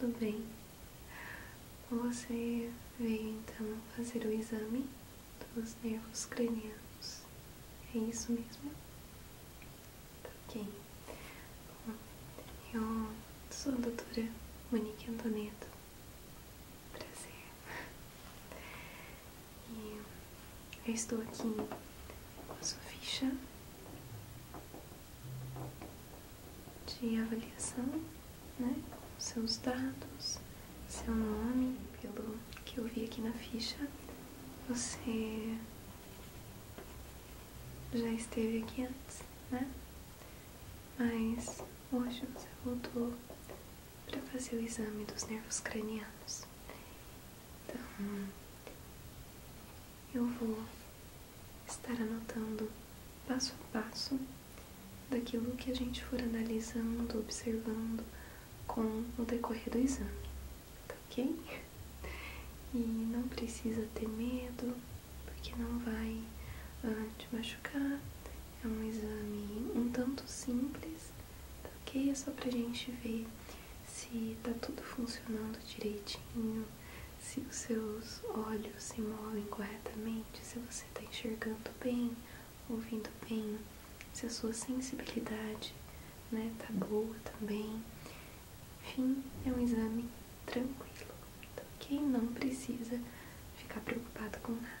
Tudo bem. Você veio então fazer o exame dos nervos cranianos. É isso mesmo? Tá ok. eu sou a doutora Monique Antoneta. Prazer. E eu estou aqui com a sua ficha de avaliação, né? Seus dados, seu nome, pelo que eu vi aqui na ficha, você já esteve aqui antes, né? Mas hoje você voltou para fazer o exame dos nervos cranianos. Então, eu vou estar anotando passo a passo daquilo que a gente for analisando, observando com o decorrer do exame, tá ok? E não precisa ter medo, porque não vai ah, te machucar. É um exame um tanto simples, tá ok? É só a gente ver se tá tudo funcionando direitinho, se os seus olhos se movem corretamente, se você está enxergando bem, ouvindo bem, se a sua sensibilidade está né, boa também. Enfim, é um exame tranquilo, tá ok? Não precisa ficar preocupado com nada.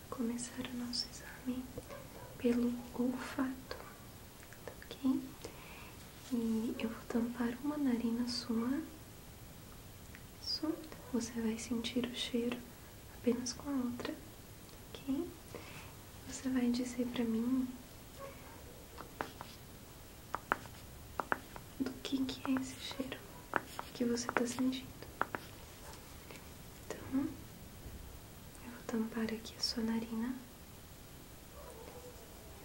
começar o nosso exame pelo olfato, ok? E eu vou tampar uma narina sua. Isso. Você vai sentir o cheiro apenas com a outra, ok? Você vai dizer pra mim do que, que é esse cheiro que você tá sentindo. Então, eu vou tampar aqui a sua narina.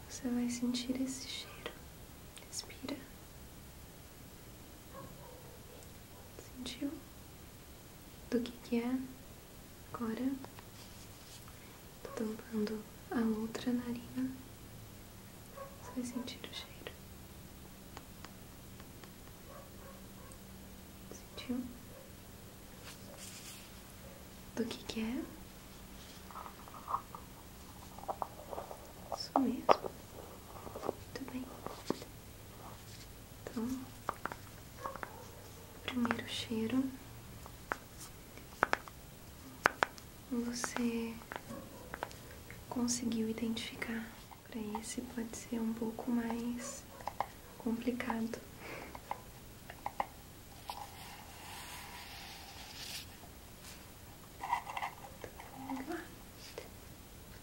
Você vai sentir esse cheiro. Respira. Sentiu? Do que, é? Agora, tô tampando a outra narina. Você vai sentir o cheiro. Sentiu? Do que que é? Isso mesmo. Muito bem. Então, primeiro cheiro. Você conseguiu identificar para esse pode ser um pouco mais complicado. Então, vou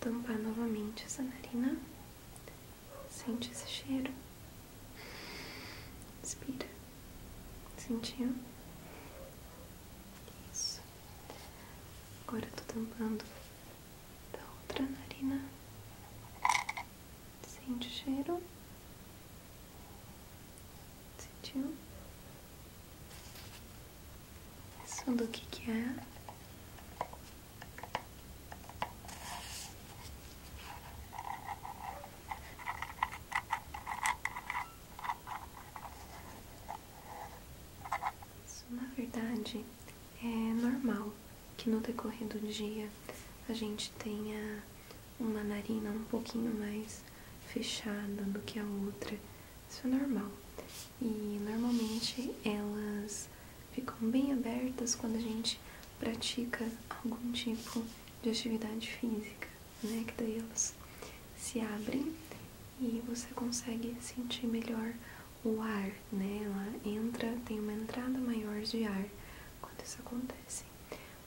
tampar novamente essa narina. Sente esse cheiro. Inspira. Sentiu? Isso. Agora eu tô tampando da outra narina. sem o cheiro? Sentiu? isso do que que é? Isso, na verdade, é normal que no decorrer do dia a gente tenha uma narina um pouquinho mais fechada do que a outra. Isso é normal. E normalmente elas ficam bem abertas quando a gente pratica algum tipo de atividade física, né? Que daí elas se abrem e você consegue sentir melhor o ar, né? Ela entra, tem uma entrada maior de ar quando isso acontece.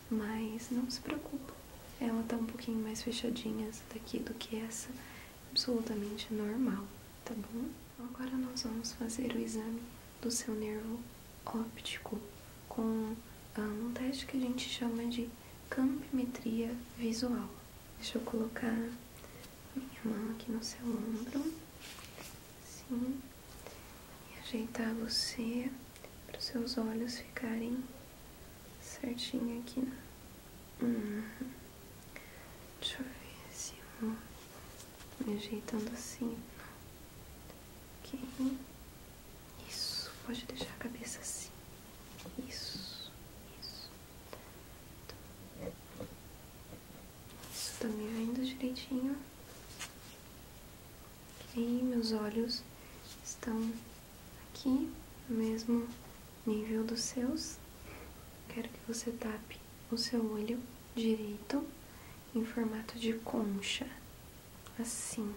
Mas não se preocupa, ela tá um pouquinho mais fechadinha essa daqui do que essa, absolutamente normal, tá bom? Agora nós vamos fazer o exame do seu nervo óptico com ah, um teste que a gente chama de campimetria visual. Deixa eu colocar minha mão aqui no seu ombro. Sim. E ajeitar você para os seus olhos ficarem certinho aqui. Né? Uhum. Deixa eu ver assim me ajeitando assim. Ok. Isso. Pode deixar a cabeça assim. Isso. Isso. Isso tá me vendo direitinho? Ok, meus olhos estão aqui, no mesmo nível dos seus. Quero que você tape o seu olho direito em formato de concha, assim,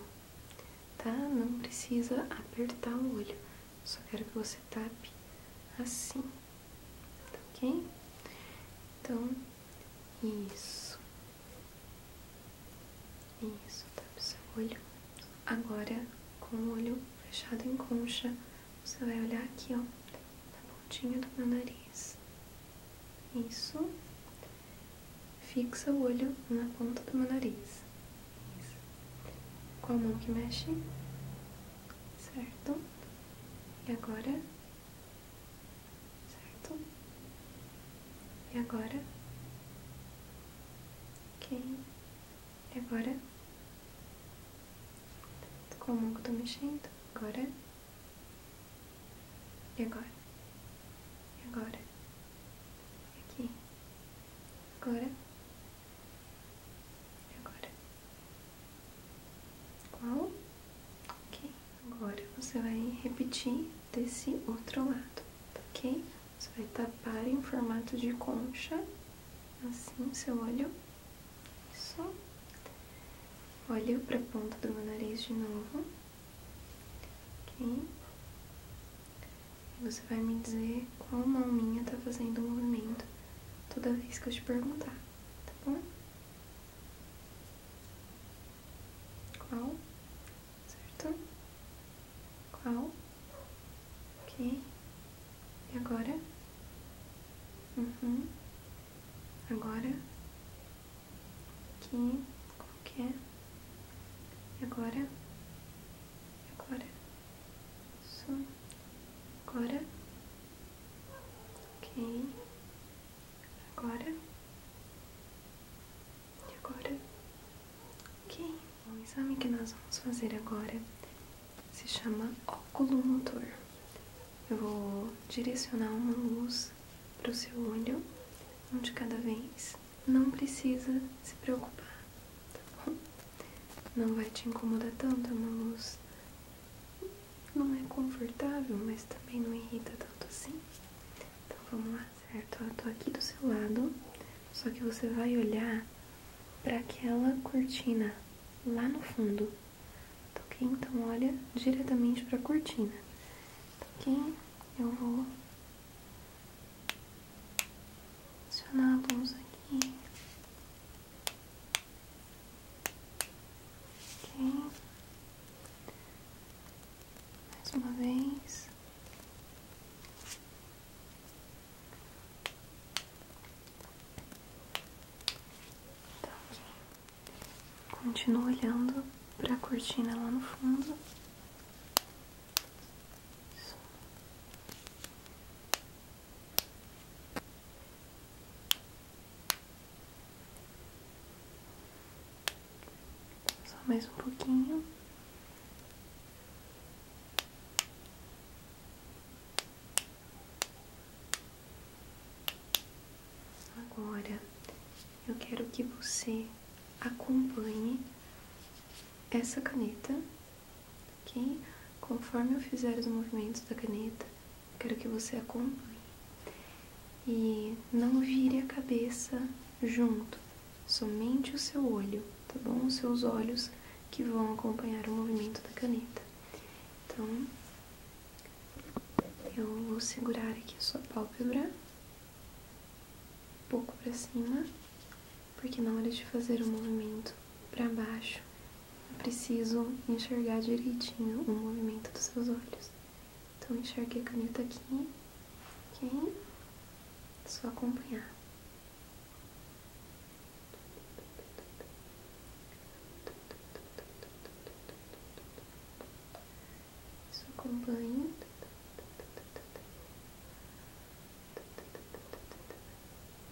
tá? Não precisa apertar o olho, só quero que você tape assim ok? Então, isso, isso, tá o seu olho. Agora, com o olho fechado em concha, você vai olhar aqui, ó, na pontinha do meu nariz. Isso. Fixa o olho na ponta do meu nariz. Isso. a mão que mexe? certo? E agora, certo? E agora, ok? E agora, como que eu tô mexendo? Agora, e agora, e agora, aqui, agora. Agora, qual? Ok. Agora você vai repetir desse outro lado, ok? Você vai tapar em formato de concha, assim, seu olho. Isso. Olho pra ponta do meu nariz de novo. Ok? E você vai me dizer qual mão minha tá fazendo o movimento toda vez que eu te perguntar, tá bom? Qual? Certo? Qual? Ok. E agora? Uhum. Agora? Aqui. qualquer é? agora? agora? Isso. Agora? Ok. Agora. E agora. Ok. O exame que nós vamos fazer agora se chama óculo motor. Eu vou direcionar uma luz para o seu olho, um de cada vez. Não precisa se preocupar, tá bom? Não vai te incomodar tanto, é uma luz não é confortável, mas também não irrita tanto assim. Então vamos lá, certo? Eu tô aqui do seu lado, só que você vai olhar para aquela cortina lá no fundo, tá então, ok? Então olha diretamente para a cortina, tá então, ok? Eu vou adicionar a bolsa aqui. Mais uma vez. Tá Continuo olhando para a cortina lá no fundo. Só mais um pouquinho. Agora eu quero que você acompanhe essa caneta, ok? Conforme eu fizer os movimentos da caneta, Quero que você acompanhe. E não vire a cabeça junto, somente o seu olho, tá bom? Os seus olhos que vão acompanhar o movimento da caneta. Então, eu vou segurar aqui a sua pálpebra, um pouco para cima, porque na hora de fazer o movimento para baixo, preciso enxergar direitinho o movimento dos seus olhos. Então, enxerguei a caneta aqui, ok? só acompanhar. Só acompanha.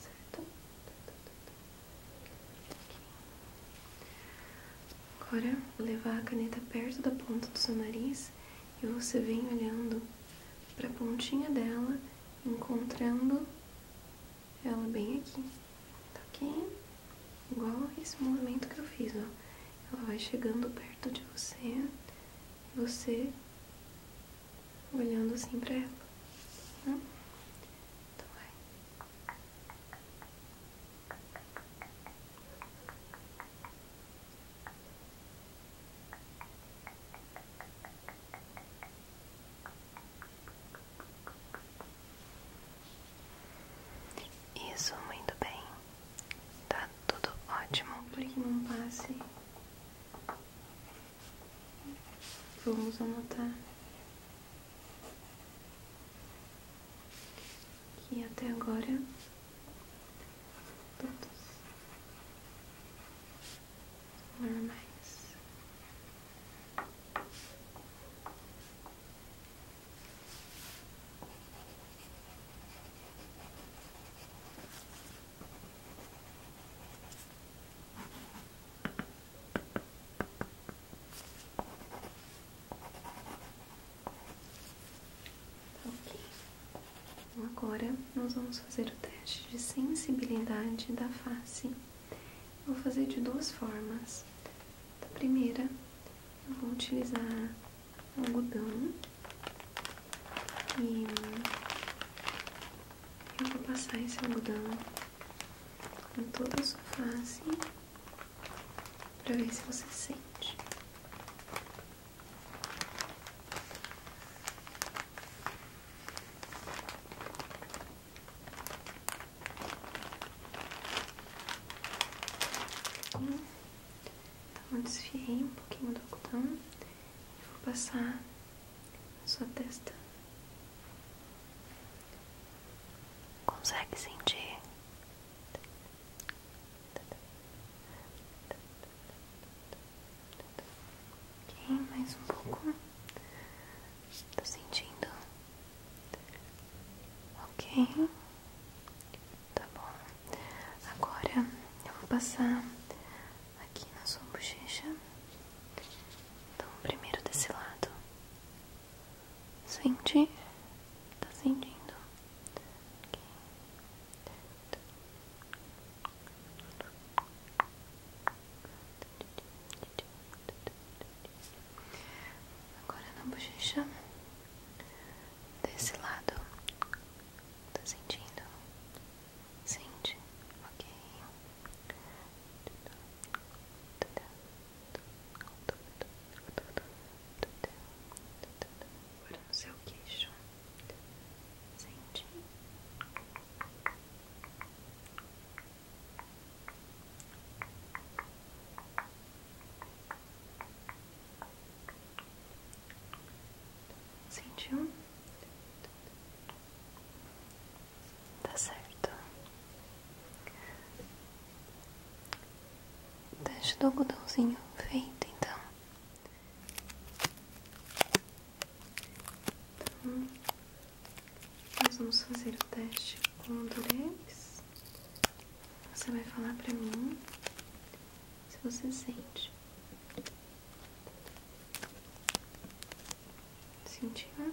certo? Aqui. Agora, vou levar a caneta perto da ponta do seu nariz e você vem olhando para a pontinha dela, encontrando ela bem aqui, tá ok? Igual esse movimento que eu fiz, ó. Ela vai chegando perto de você, você olhando assim para ela. Né? É. Isso, muito bem. Tá tudo ótimo. Para que não passe, vamos anotar e até agora todos são normais. Tá então, agora nós vamos fazer o teste de sensibilidade da face. vou fazer de duas formas. a primeira, eu vou utilizar algodão e eu vou passar esse algodão com toda a sua face para ver se você sente. Então eu desfiei um pouquinho do algodão e vou passar na sua testa. Consegue sentir? Ok, mais um pouco. Tá sentindo? Ok. Tá bom. Agora eu vou passar aqui na sua bochecha. Então, primeiro desse lado. Sente? Tá sentindo? Agora na bochecha desse lado, tá sentindo? Sente, ok. Agora no seu queixo, sente. Sentiu? Tá certo. Teste do algodãozinho feito, então. então. Nós vamos fazer o teste com o durex. Você vai falar pra mim se você sente. Sentiu? Né?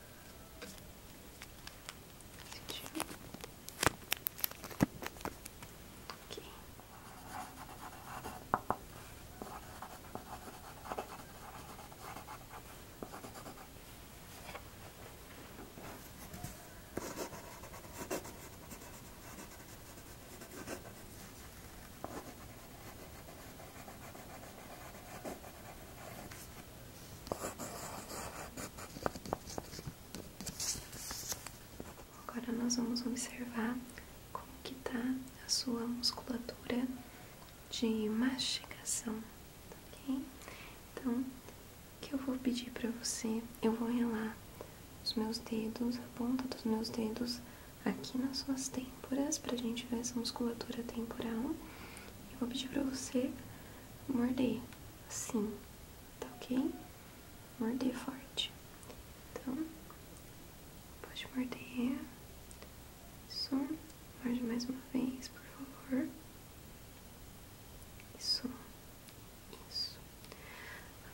Sentiu? Aqui. Aqui. Agora nós vamos observar como que tá a sua musculatura de mastigação, tá ok? Então, o que eu vou pedir para você, eu vou relar os meus dedos, a ponta dos meus dedos aqui nas suas têmporas, a gente ver essa musculatura temporal. Eu vou pedir para você morder, assim, tá ok? Morder forte. Então, pode morder. Isso. Morde mais uma vez, por favor. Isso. Isso.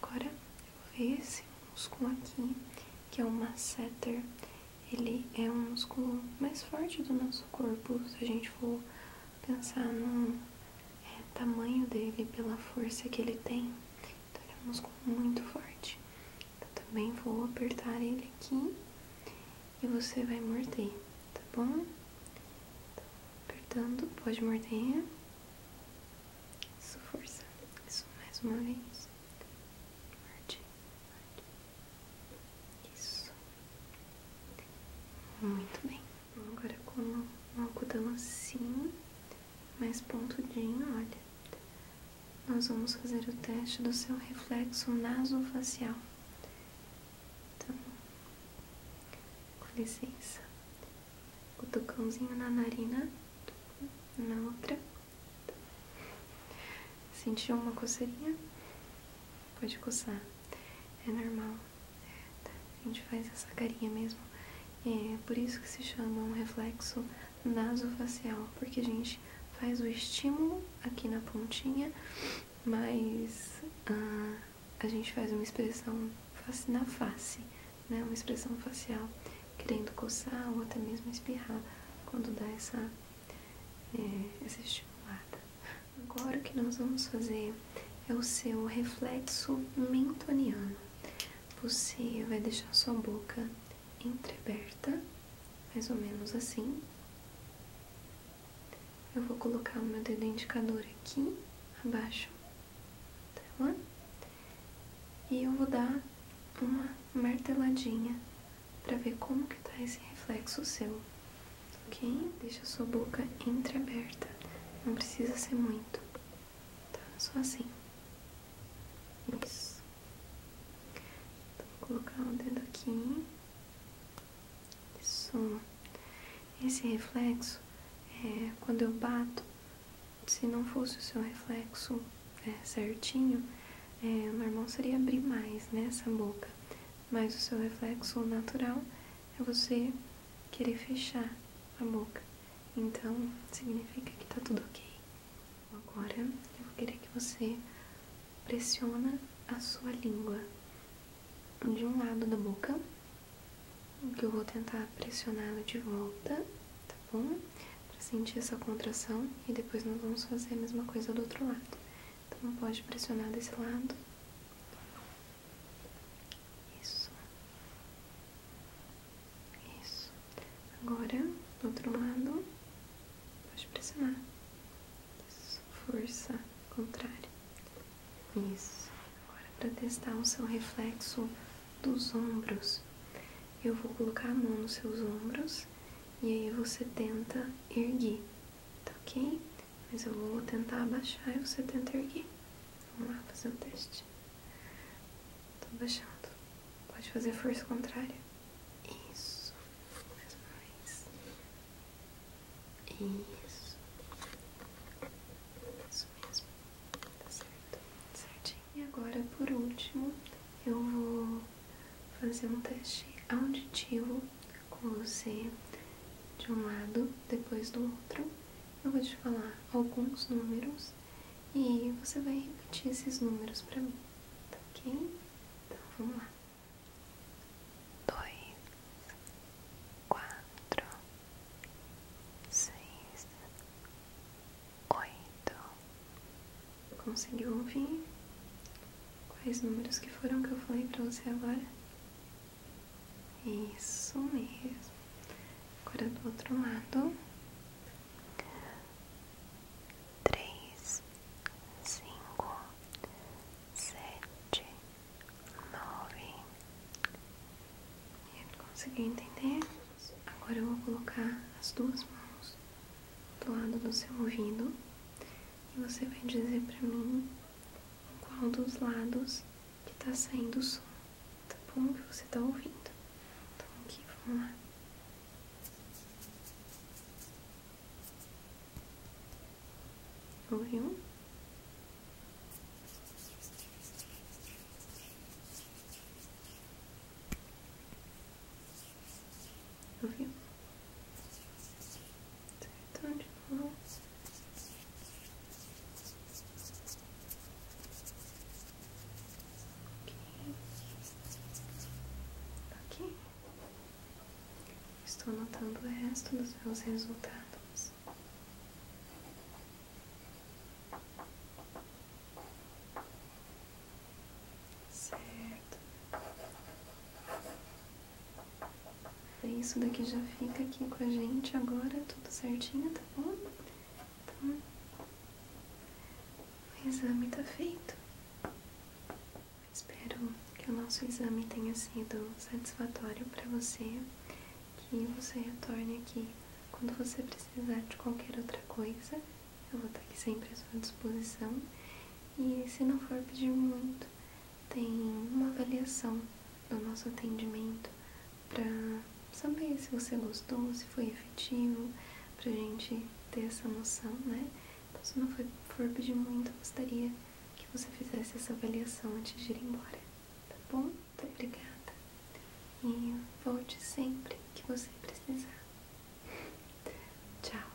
Agora, eu vou esse músculo aqui, que é o masseter. Ele é um músculo mais forte do nosso corpo, se a gente for pensar no é, tamanho dele, pela força que ele tem. Então ele é um músculo muito forte. Então também vou apertar ele aqui e você vai morder, tá bom? apertando, pode morder. Isso, força. Isso, mais uma vez. Morde, morde. Isso. Muito bem. Agora com um acudão assim, mais pontudinho, olha. Nós vamos fazer o teste do seu reflexo nasofacial. Então, com licença. O tocãozinho na narina, na outra. Sentiu uma coceirinha? Pode coçar. É normal. A gente faz essa carinha mesmo. É por isso que se chama um reflexo nasofacial, porque a gente faz o estímulo aqui na pontinha, mas ah, a gente faz uma expressão na face, né? Uma expressão facial, querendo coçar ou até mesmo espirrar quando dá essa, é, essa estimulada. Agora o que nós vamos fazer é o seu reflexo mentoniano. Você vai deixar sua boca entreaberta, mais ou menos assim. Eu vou colocar o meu dedo indicador aqui abaixo dela e eu vou dar uma marteladinha para ver como que tá esse reflexo seu ok? Deixa a sua boca entreaberta, não precisa ser muito, tá? Só assim. Isso. Então, vou colocar o dedo aqui. Isso. Esse reflexo é quando eu bato. Se não fosse o seu reflexo é, certinho, é, normal seria abrir mais, nessa né, boca mas o seu reflexo natural é você querer fechar a boca. Então, significa que tá tudo ok. Agora, eu vou querer que você pressiona a sua língua de um lado da boca, que eu vou tentar pressioná-la de volta, tá bom? Pra sentir essa contração e depois nós vamos fazer a mesma coisa do outro lado. Então pode pressionar desse lado. Isso. Isso. Agora, do outro lado, pode pressionar. Isso. Força contrária. Isso. Agora, para testar o seu reflexo dos ombros, eu vou colocar a mão nos seus ombros e aí você tenta erguer, tá ok? Mas eu vou tentar abaixar e você tenta erguer. Vamos lá fazer o um teste. estou baixando Pode fazer força contrária. Isso. Mais uma vez. Isso. Isso mesmo. Tá certo. Certinho. E agora, por último, eu vou fazer um teste auditivo com você de um lado, depois do outro. Eu vou te falar alguns números e você vai repetir esses números para mim, tá ok? Então vamos lá. Dois, quatro, seis, oito. Conseguiu ouvir? Quais números que foram que eu falei para você agora? Isso mesmo. Agora do outro lado. Três, cinco, sete, nove. Conseguiu entender? Agora eu vou colocar as duas mãos do lado do seu ouvido e você vai dizer para mim qual dos lados que tá saindo o som, tá bom? Que você tá ouvindo. Então aqui, vamos lá. Ouviu? Ouviu? Certo? De novo. Ok. Estou anotando o resto dos meus resultados. Certo. É isso daqui já fica aqui com a gente agora, tudo certinho, tá bom? Então, o exame tá feito. Espero que o nosso exame tenha sido satisfatório para você, que você retorne aqui quando você precisar de qualquer outra coisa. Eu vou estar aqui sempre à sua disposição. E se não for pedir muito, tem uma avaliação do nosso atendimento para saber se você gostou, se foi efetivo, para a gente ter essa noção, né? Então, se não for, pedir muito, eu gostaria que você fizesse essa avaliação antes de ir embora, tá bom? Muito obrigada. E volte sempre que você precisar. Tchau.